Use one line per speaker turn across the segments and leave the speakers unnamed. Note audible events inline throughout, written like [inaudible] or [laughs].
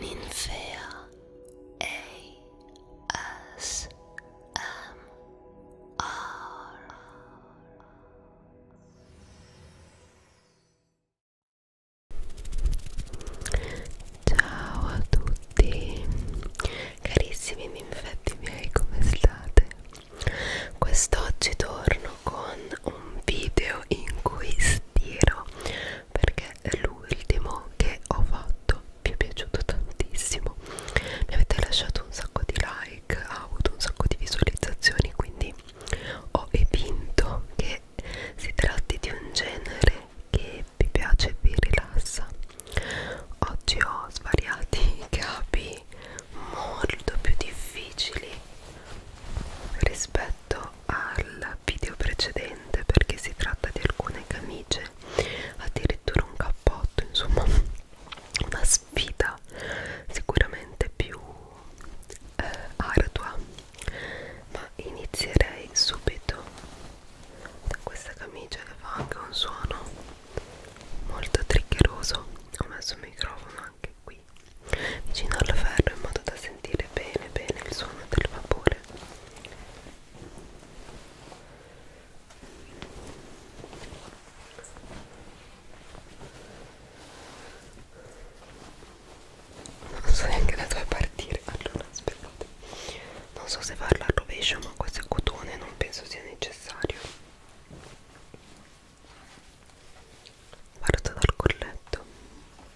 Ninfea ASMR Ciao a tutti carissimi ninfetti miei come state? Quest'oggi torno con un video in cui stiro perché l'ultimo che ho fatto mi è piaciuto tantissimo mi avete lasciato un sacco di like ha avuto un sacco di visualizzazioni quindi ho evinto che si tratti di un genere che vi piace e vi rilassa oggi ho svariati capi molto più difficili rispetto al video precedente perché si tratta di alcune camicie addirittura un cappotto insomma [laughs] una sfida sicuramente più eh, ardua ma inizierei subito da questa camicia che fa anche un suono molto triggeroso ho messo il microfono anche qui vicino al ferro in modo da sentire sentire bene bene il suono del vapore non so neanche da dove partire allora aspettate non so se farlo al rovescio ma questo è cotone non penso sia necessario guarda dal colletto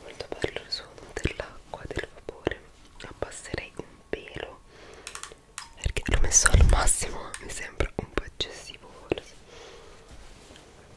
Molto bello il suono dell'acqua, del vapore. Abbasserei un pelo perché l'ho messo al massimo, mi sembra un po' eccessivo forse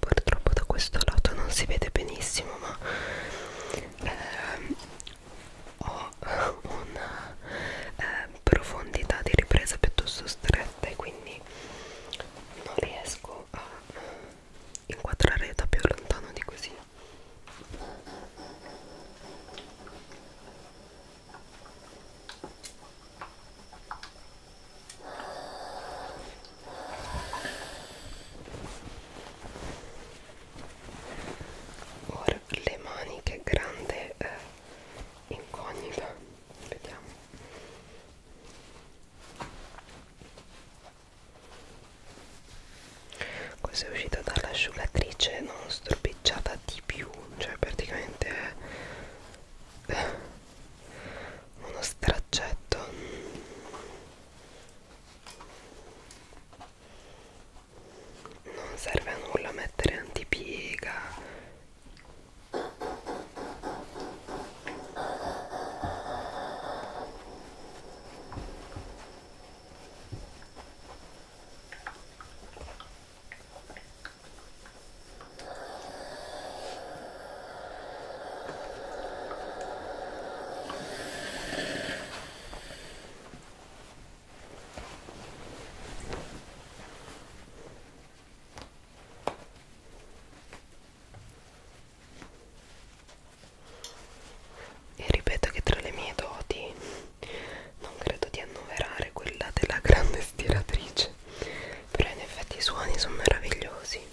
purtroppo da questo lato non si vede benissimo ma ehm, ho una eh, ehm, profondità di ripresa piuttosto stretta e quindi non riesco a eh, inquadrare da più lontano di così ora le maniche grande eh, incognita vediamo questa è uscita dall'asciugatrice non stropicciata di più cioè praticamente è eh, uno straccetto non serve a nulla mettere antipiega e ripeto che tra le mie doti non credo di annoverare quella della grande stiratrice, però in effetti i suoni sono meravigliosi.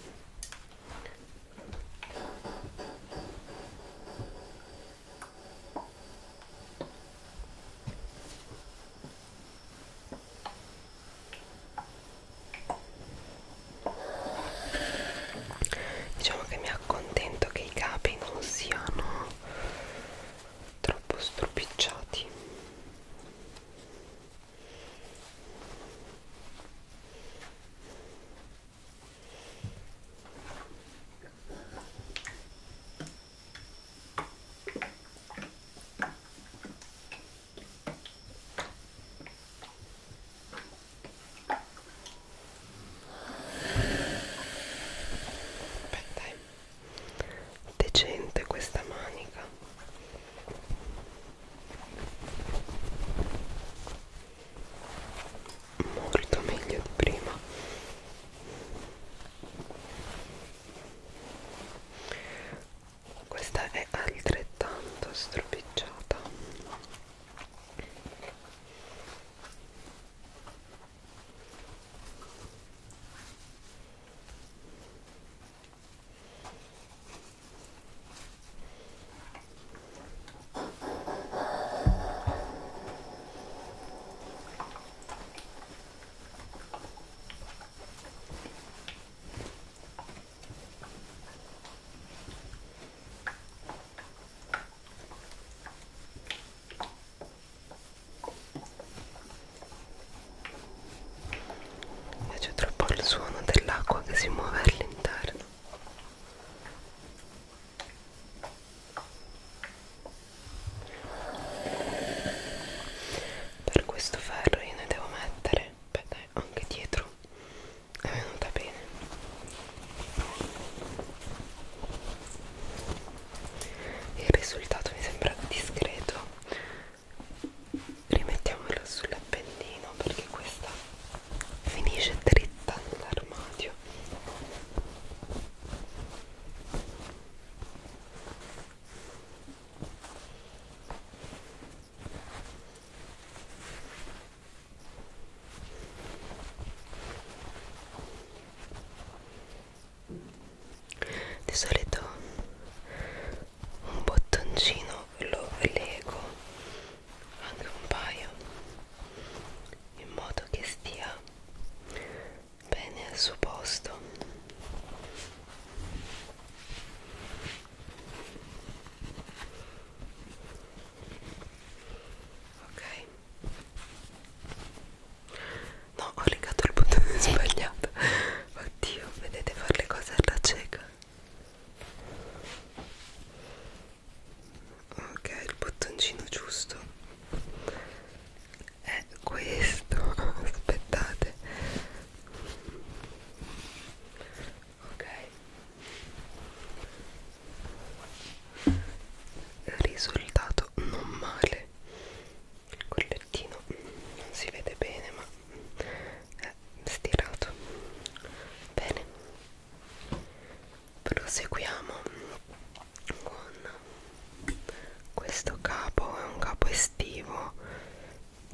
Diciamo che mi accontento che i capi non siano troppo stropicciati Beh, dai, decente questa manica molto meglio di prima questa è altrettanto stropicciata mi piace troppo il suono dell'acqua che si muove all'interno per questo ferro io ne devo mettere beh dai, anche dietro è venuta bene il risultato mi sembra discreto rimettiamola sull'appendino perché questa finisce dritta nell'armadio di solito un bottoncino lo lego anche un paio in modo che stia bene al suo posto ok No, ho legato il bottone [laughs] sbagliato. Oddio, vedete fare le cose alla cieca ok il bottoncino giusto è questo [laughs] aspettate ok risultato non male il collettino non si vede bene ma eh, stirato bene proseguiamo con questo capo è un capo estivo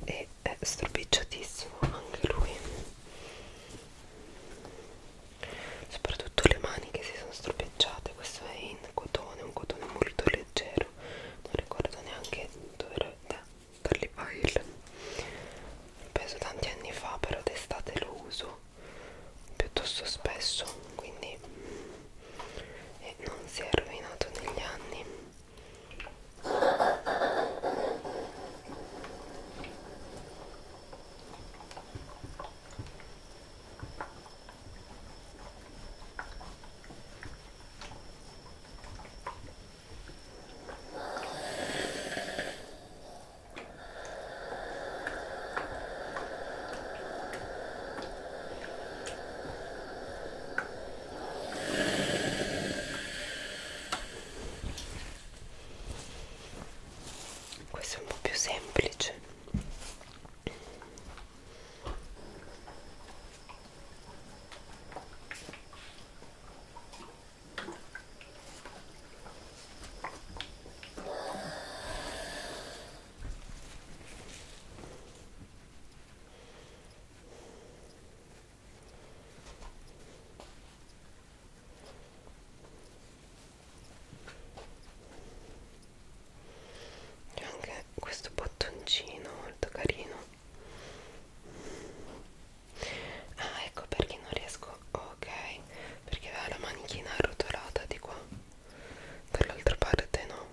e è stropicciatissimo anche lui soprattutto le maniche si sono stropicciate questo è in cotone un cotone molto leggero non ricordo neanche dove era per l'e-file penso tanti anni fa però d'estate lo uso piuttosto spesso quindi e non si è rovinato negli anni questo è un po' più semplice c'è anche questo bottoncino molto carino ah ecco perché non riesco ok perché aveva la manichina arrotolata di qua dall'altra parte no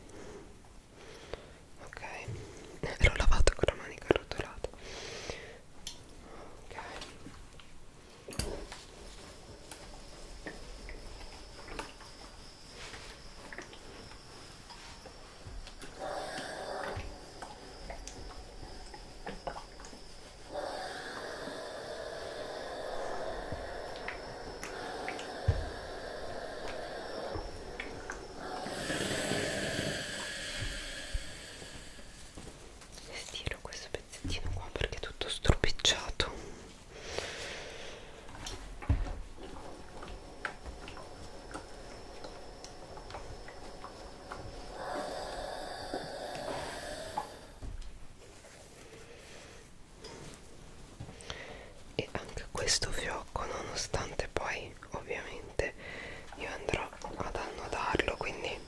ok l'ho lavato con la manica arrotolata ok Stiro questo pezzettino qua perché è tutto stropicciato e anche questo fiocco nonostante poi ovviamente io andrò ad annodarlo quindi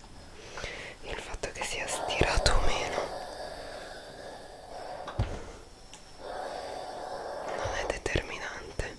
il fatto che sia stirato o meno non è determinante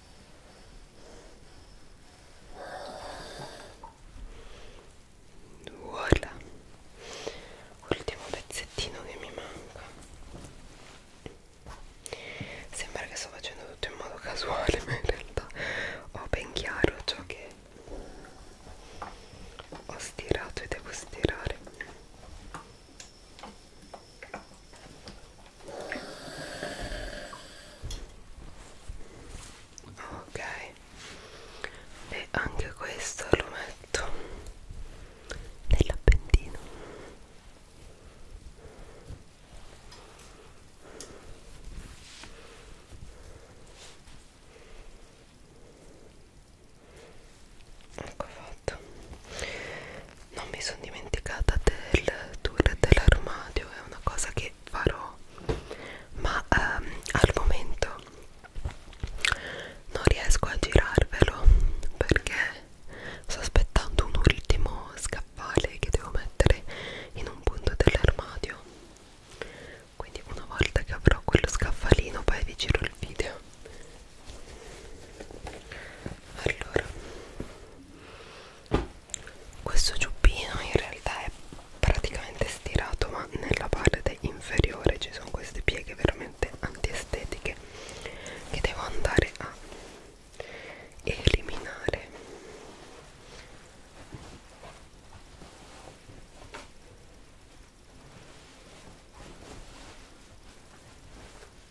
Voilà. Ultimo pezzettino che mi manca. Sembra che sto facendo tutto in modo casuale, [laughs] ma in realtà ho ben chiaro ciò che ho stirato e devo stirare ok e anche questo lo metto nell'appendino ecco fatto non mi sono dimenticata del tour dell'armadio è una cosa che farò ma ehm, al momento non riesco a girarvelo perché sto aspettando un ultimo scaffale che devo mettere in un punto dell'armadio quindi una volta che avrò quello scaffalino poi vi giro il video allora questo giubbino in realtà è praticamente stirato ma nella parte inferiore ci sono queste pieghe veramente antiestetiche che devo andare a eliminare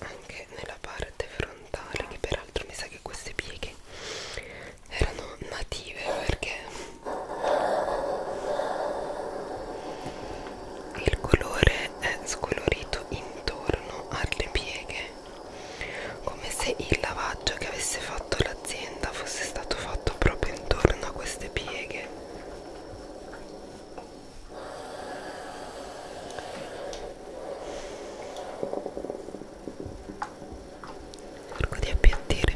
anche nella parte frontale che peraltro mi sa che queste pieghe erano native perché il colore è scolorito intorno alle pieghe come se il lavaggio che avesse fatto l'azienda fosse stato fatto proprio intorno a queste pieghe cerco di appiattire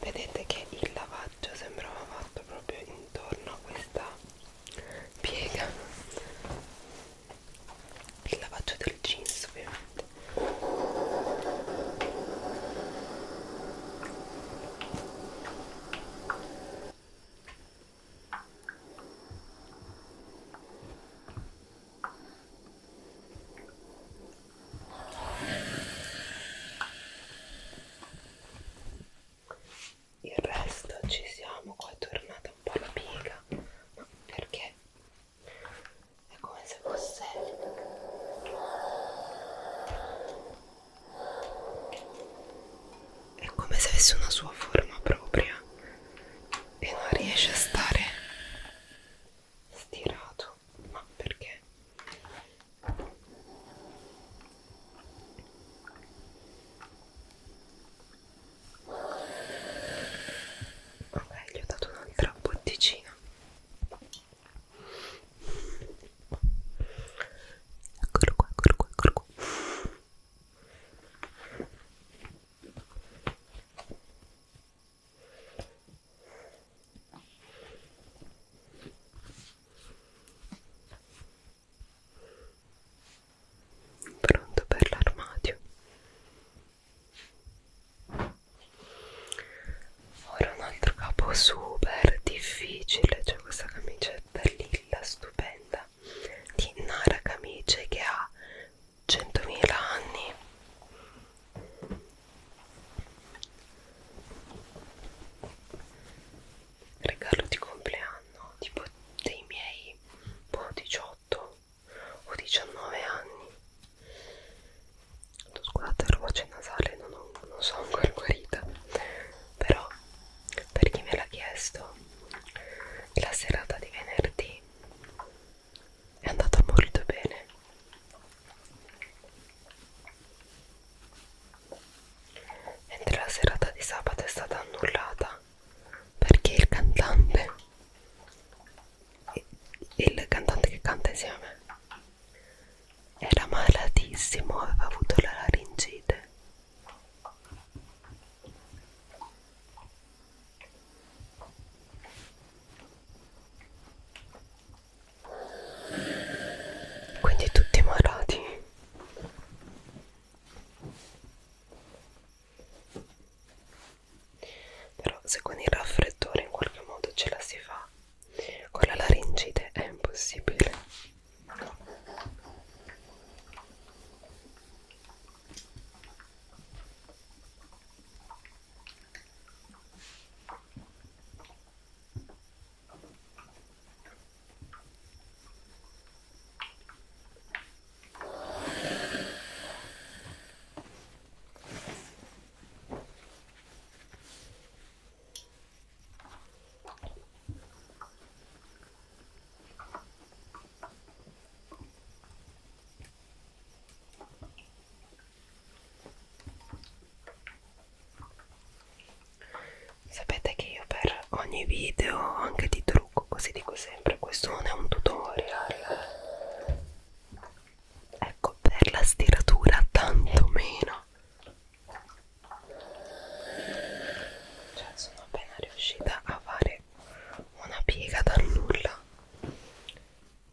vedete che il lavaggio sembrava fatto proprio intorno a questa piega il lavaggio del jeans ovviamente il resto ci siamo, qua è tornata un po' la piega, ma perché è come se fosse è come se avesse una sua forma propria e non riesce a stare stirato ma perché ok gli ho dato un'altra botticina Eccolo qua, eccolo qua, eccolo qua. Pronto per l'armadio ora un altro capo super difficile c'è cioè questa camicetta lilla stupenda di Nara Camice che ha 100.000 anni regalo di compleanno tipo dei miei boh, 18 o 19 anni Scusate, la voce nasale non, ho, non so ancora guarita, però per chi me l'ha chiesto, la serata di venerdì è andata molto bene. Mentre la serata di sabato è stata annullata perché il cantante, il cantante che canta insieme a me, era malatissimo, aveva avuto la laringite. Quindi tutti malati. Però se con il raffreddore in qualche modo ce la si fa con la laringite è impossibile Sapete che io per ogni video, anche di trucco, così dico sempre, questo non è un tutorial ecco per la stiratura tanto meno cioè sono appena riuscita a fare una piega dal nulla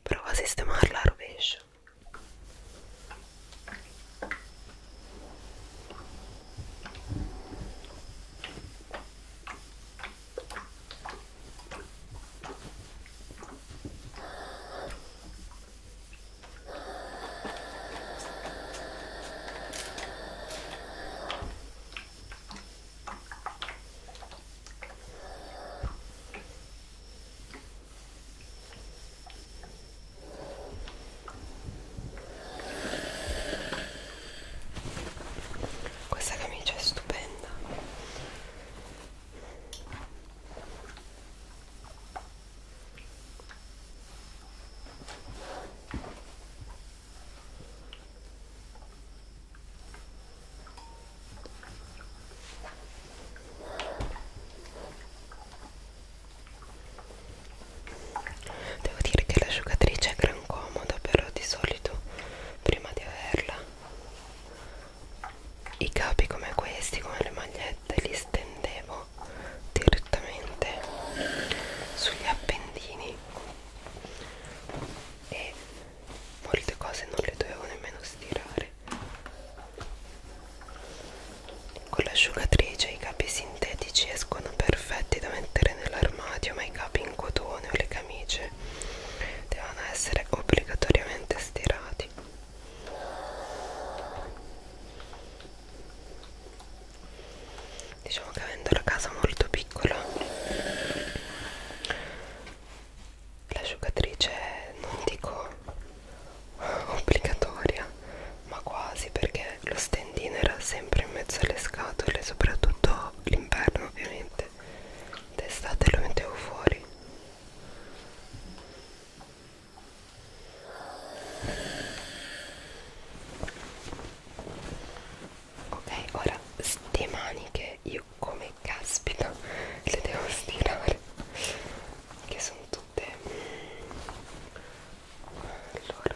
prova a sistemarla a rovescio questa camicia è stupenda Devo dire che l'asciugatrice è gran comoda, però di solito prima di averla i capi come questi come le magliette li stendevo direttamente sugli appendini e molte cose non le dovevo nemmeno stirare con l'asciugatrice i capi sintetici escono perfetti da mettere nell'armadio ma i capi in cotone o le camicie devono essere obbligatoriamente stirati diciamo che avendo la casa molto piccola l'asciugatrice non dico obbligatoria ma quasi perché lo stendino era sempre in mezzo alle scatole soprattutto l'inverno ovviamente d'estate lo mettevo fuori ok ora ste maniche io come caspita le devo stirare che sono tutte allora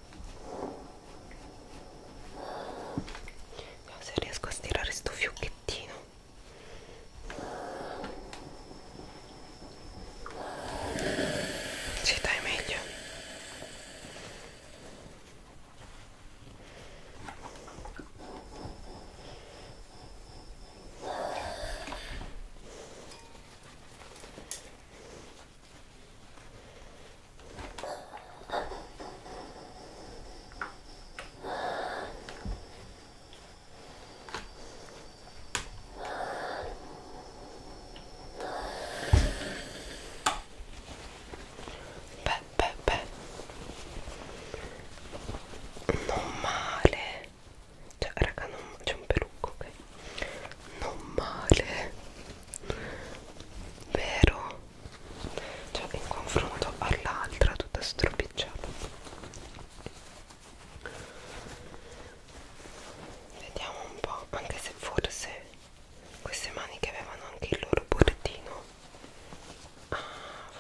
Vediamo se riesco a stirare sto fiocchettino ci dai meglio Beh, beh, beh. Non male. Cioè, raga, non c'è un pelucco, ok? Non male. Vero? cioè in confronto all'altra tutta stropicciata vediamo un po' anche se forse queste maniche avevano anche il loro bordino ah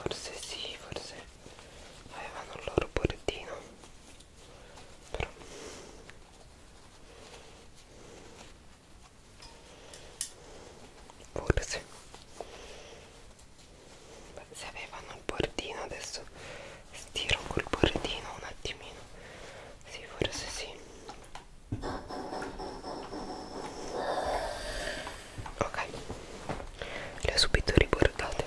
forse sì forse avevano il loro bordino però forse Beh, se avevano il bordino adesso stiro col bordino un attimino sì forse sì ok le ho subito ribordate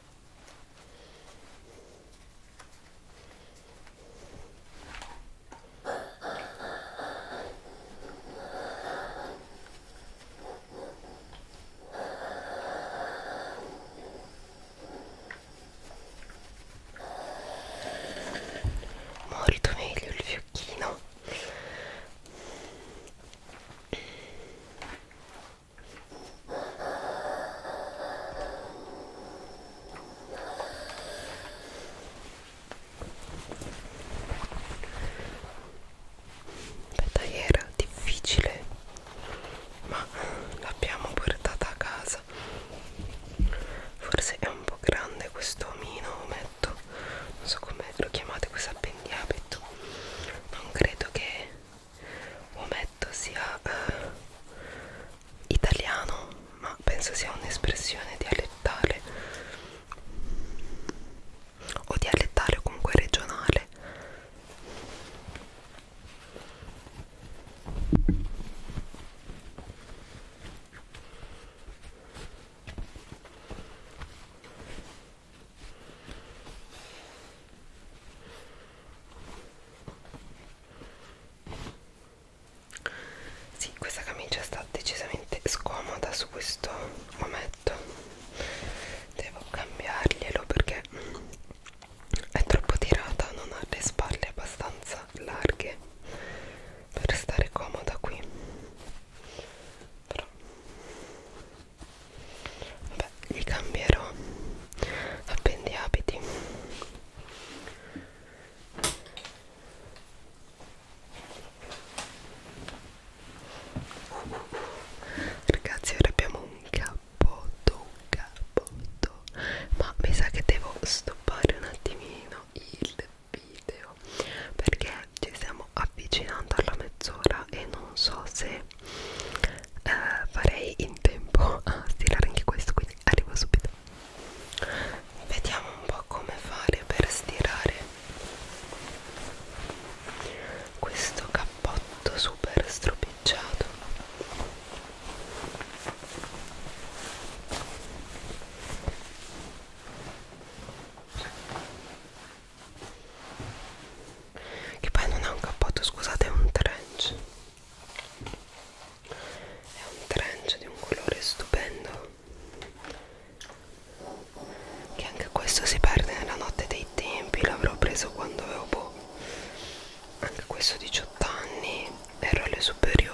Morito meglio il fiocchino Aspetta, era difficile, ma l'abbiamo portata a casa. Forse è un po' grande questo omino, ometto, non so come lo chiamate, questo appendiabito. Non credo che ometto sia eh, italiano ma penso sia un'espressione dialettale o dialettale o comunque regionale sì, questa camicia sta decisamente scomoda su questo ometto. Devo cambiarglielo perché è troppo tirata, non ha le spalle abbastanza larghe per stare comoda qui. Però Vabbè, gli cambierò appendi abiti Ragazzi, ora abbiamo un cappotto, un cappotto Ma mi sa che devo stoppare un attimino il video Perché ci stiamo avvicinando alla mezz'ora e non so se eh, farei in tempo a stirare anche questo quindi arrivo subito vediamo un po' come fare per stirare questo cappotto super stropicciato che poi non è un cappotto scusate è un trench è un trench di un colore stupendo che anche questo si perde nella notte dei tempi l'avrò preso quando avevo boh, anche questo 18 anni ero alle superiori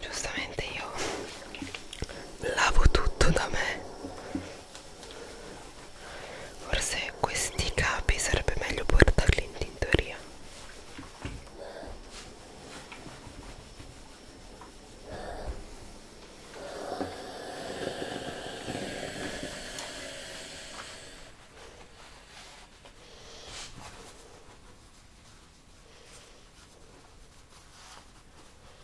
Giustamente io lavo tutto da me Forse questi capi sarebbe meglio portarli in tintoria.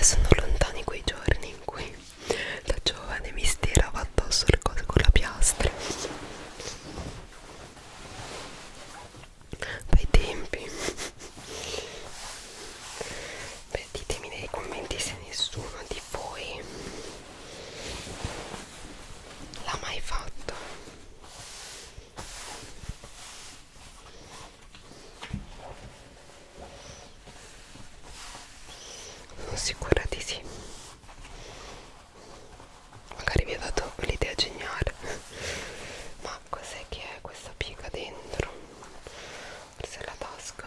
Eh, sono lontani quei giorni in cui da giovane mi stirava addosso le cose con la piastra. Bei tempi. Beh, ditemi nei commenti se nessuno di voi l'ha mai fatto sono sicura di sì magari vi ho dato l'idea geniale ma cos'è che è questa piega dentro forse è la tasca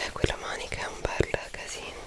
Eh, quella manica è un bel casino.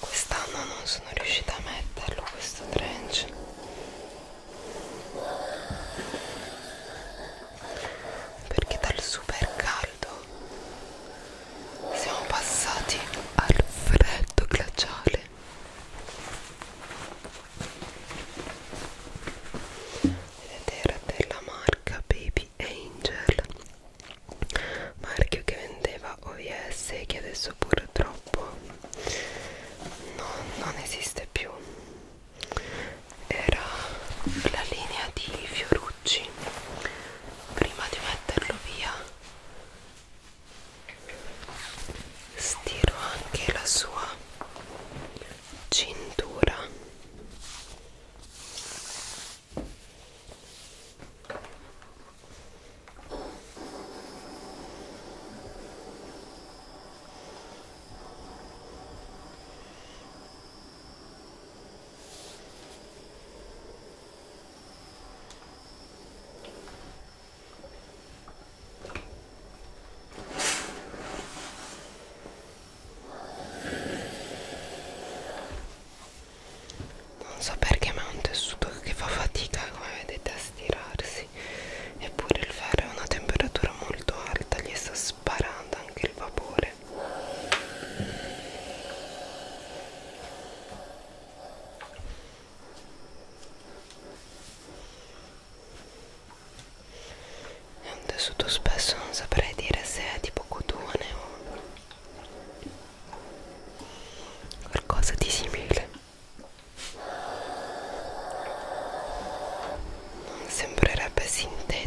Quest'anno non sono riuscita a metterlo questo trench perché dal super caldo siamo passati al freddo glaciale ed era per la marca Baby Angel marchio che vendeva OVS e che adesso purtroppo non, non esiste più era la linea di Fiorucci prima di metterlo via stiro anche la sua cintura non so perché ma è un tessuto che fa fatica come vedete a stirarsi eppure il ferro è una temperatura molto alta gli sta sparando anche il vapore è un tessuto spesso non saprei dire se è tipo cotone o qualcosa di simile non sembrerebbe sintetico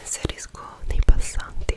inserisco dei passanti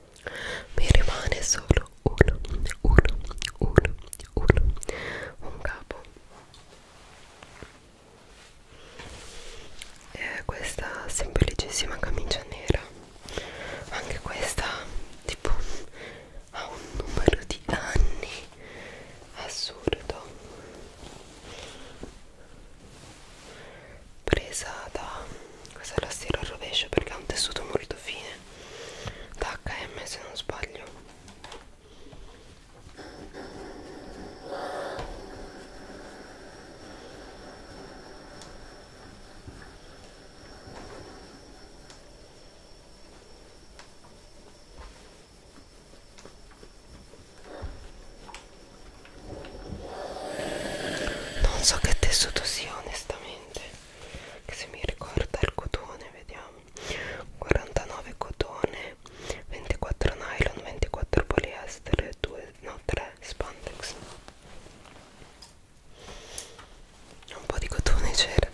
mi rimane solo uno, uno, uno, uno, un capo. E questa semplicissima camicia nera, anche questa tipo ha un numero di anni assurdo presa da questa è la stiro al rovescio perché ha un tessuto molto fine da HM se non sbaglio non so che tessuto sia onestamente che se mi ricorda il cotone vediamo 49 cotone 24 nylon 24 poliestere 2 no 3 spandex un po' di cotone c'era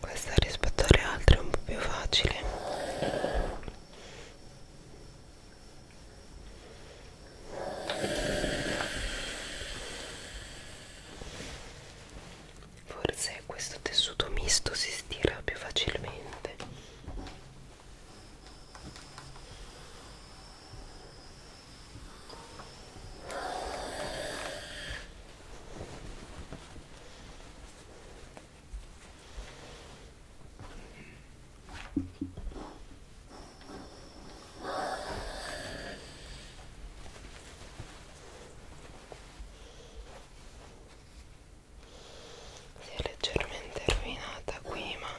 Questa rispetto alle altre è un po' più facile. Forse questo tessuto misto si stira più facilmente. Si è leggermente rovinata qui, ma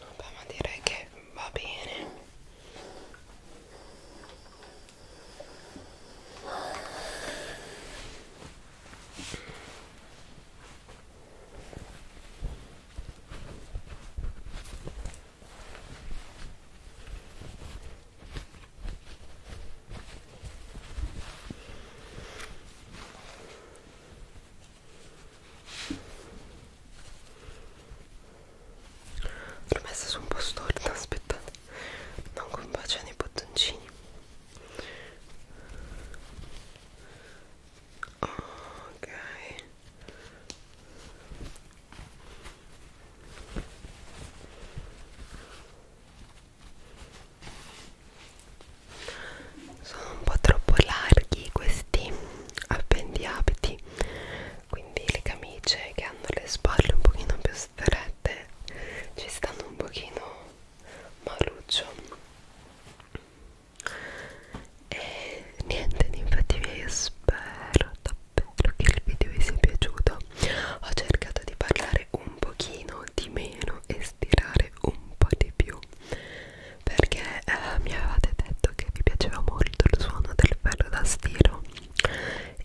Vabbè, ma direi che va bene l'ho messa su un po' storta aspettate non combaciano i bottoncini ok sono un po' troppo larghi questi appendiabiti quindi le camicie che hanno le spalle un pochino più strette ci stanno un pochino maluccio e niente infatti miei spero davvero che il video vi sia piaciuto ho cercato di parlare un pochino di meno e stirare un po' di più perché eh, mi avevate detto che vi piaceva molto il suono del ferro da stiro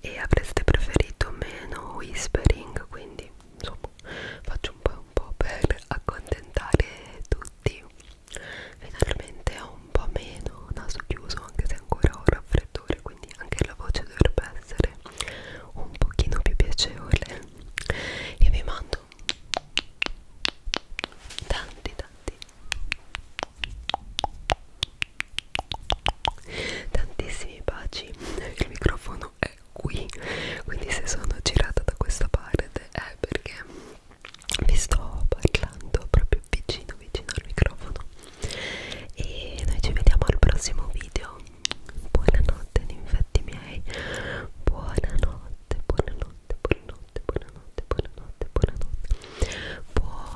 e avreste preferito meno whispering quindi insomma faccio un po', un po per accontentare tutti finalmente ho un po' meno naso chiuso anche se ancora ho un raffreddore quindi anche la voce dovrebbe essere un pochino più piacevole e vi mando tanti tanti tantissimi baci il microfono è qui quindi se sono girata da questa parte è perché vi sto parlando proprio vicino vicino al microfono e noi ci vediamo al prossimo video buonanotte infatti miei buonanotte buonanotte buonanotte buonanotte buonanotte buonanotte buonanotte